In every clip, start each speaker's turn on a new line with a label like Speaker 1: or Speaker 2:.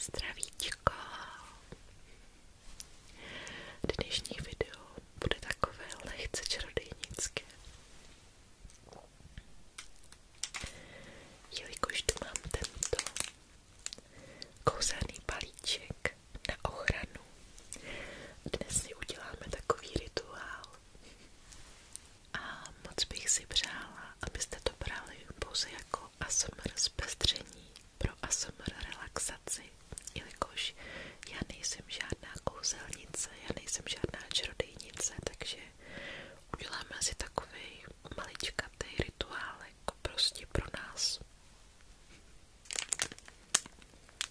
Speaker 1: Zdravíčko! Dnešní video bude takové lehce čarodějnické. Jelikož tu mám tento kouzelný palíček, na ochranu. Dnes si uděláme takový rituál. A moc bych si přála, abyste to brali pouze jako ASMR zpestření pro ASMR relaxaci, jelikož já nejsem žádná kouzelnice, já nejsem žádná čarodejnice, takže uděláme si takový maličkatý rituálek prostě pro nás.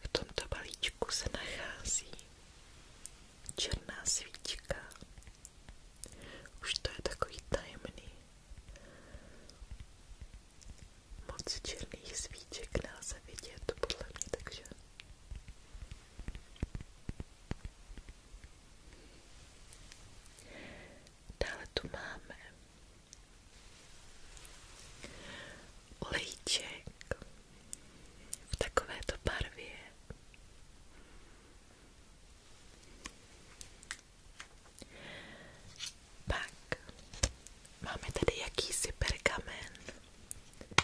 Speaker 1: V tomto balíčku se nachází černá svíčka. Už to je takový tajemný. Moc černých svíček nelze vidět, podle mě, takže Dále tu máme olejček v takovéto barvě. Pak máme tady jakýsi pergamen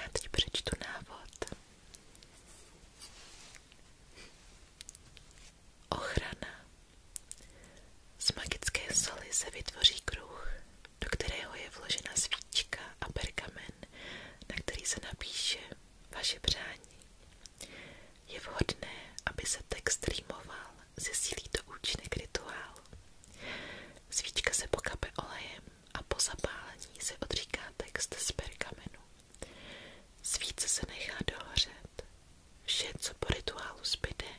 Speaker 1: Já teď přečtu Ochrana. Z magické soli se vytvoří kruh, do kterého je vložena svíčka a pergamen, na který se napíše vaše přání. Je vhodné, aby se text rýmoval, zesílí to účinek rituálu. Svíčka se pokape olejem a po zapálení se odříká text z pergamenu. Svíce se nechá dohořet. Vše, co po rituálu zbyde,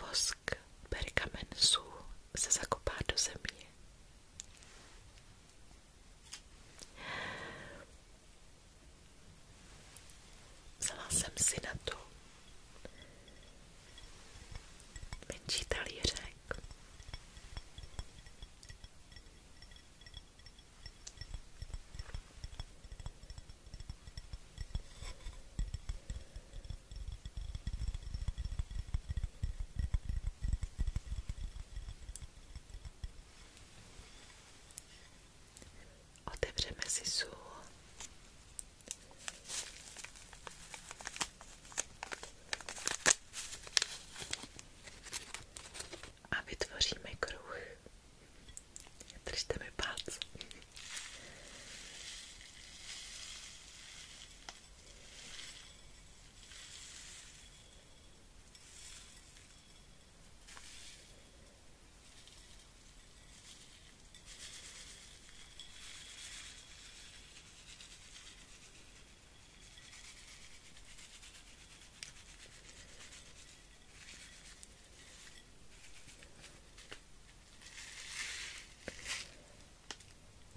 Speaker 1: vosk, pergamen, sůl, se zakopá do země. Vzala jsem si na to, menší talířek. Otevřeme si sůl a vytvoříme kruh. Držte mi palce.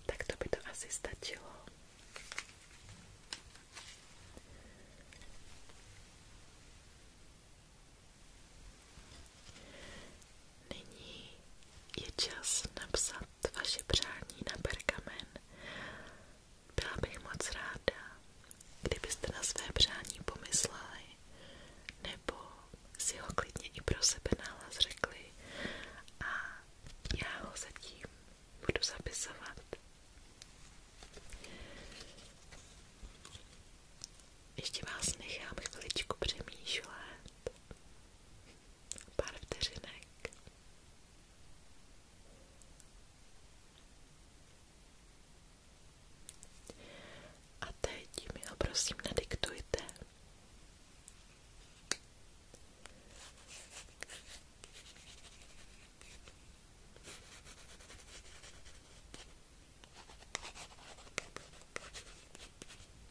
Speaker 1: Tak to by to asi stačilo. Nyní je čas napsat vaše přání na pergamen. Byla bych moc ráda, kdybyste na své přání pomysleli, nebo si ho klidně i pro sebe nahlas řekli a já ho zatím budu zapisovat. Ještě vás nechám chviličku přemýšlet pár vteřinek. A teď mi ho prosím nadiktujte.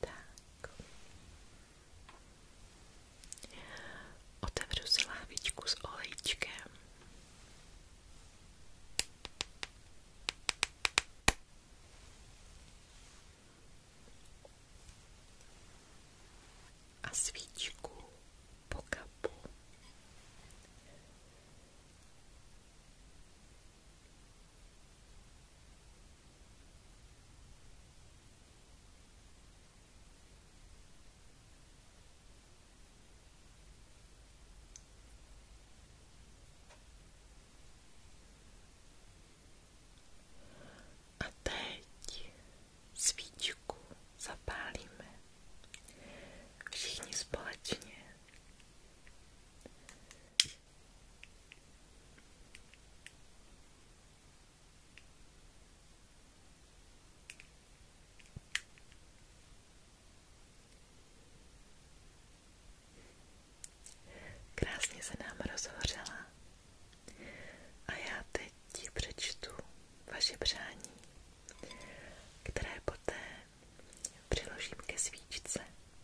Speaker 1: Tak. Otevřu si lávičku s olejčkem. A svíčku po kapu. A teď svíčku zapálíme všichni společně. Krásně se nám rozhořela a já teď ti přečtu vaše přání, které poté přiložím ke svíčce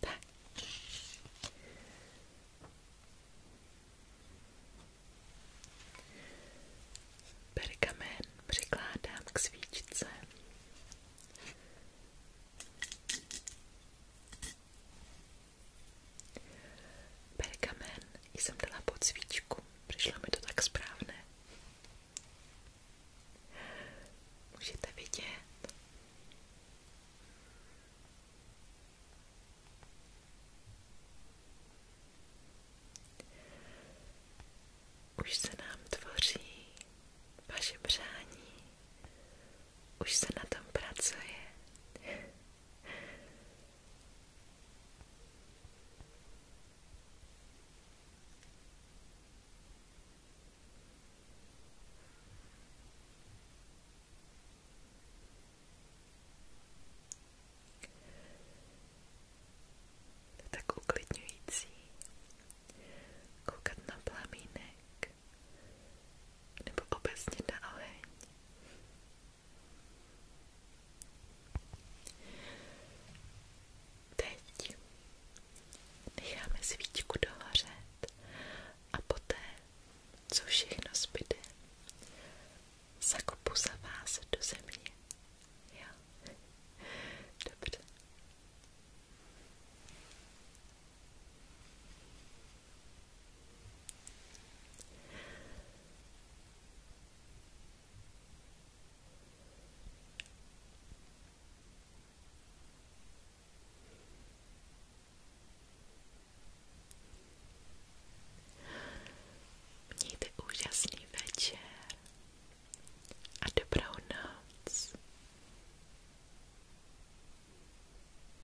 Speaker 1: Tak. Pergamen přikládám k svíčce. Pergamen jsem dala pod svíčku, přišlo mi to tak správné. Můžete vidět. Už se nám tvoří vaše břání, už se na tom pracuje, to je tak uklidňující koukat na plamínek nebo obecně na oheň. Teď necháme svíčku dohořet a poté, co všechno zbyde, zakopu za vás do země. Jo? Dobře. Mějte úžasný večer a dobrou noc.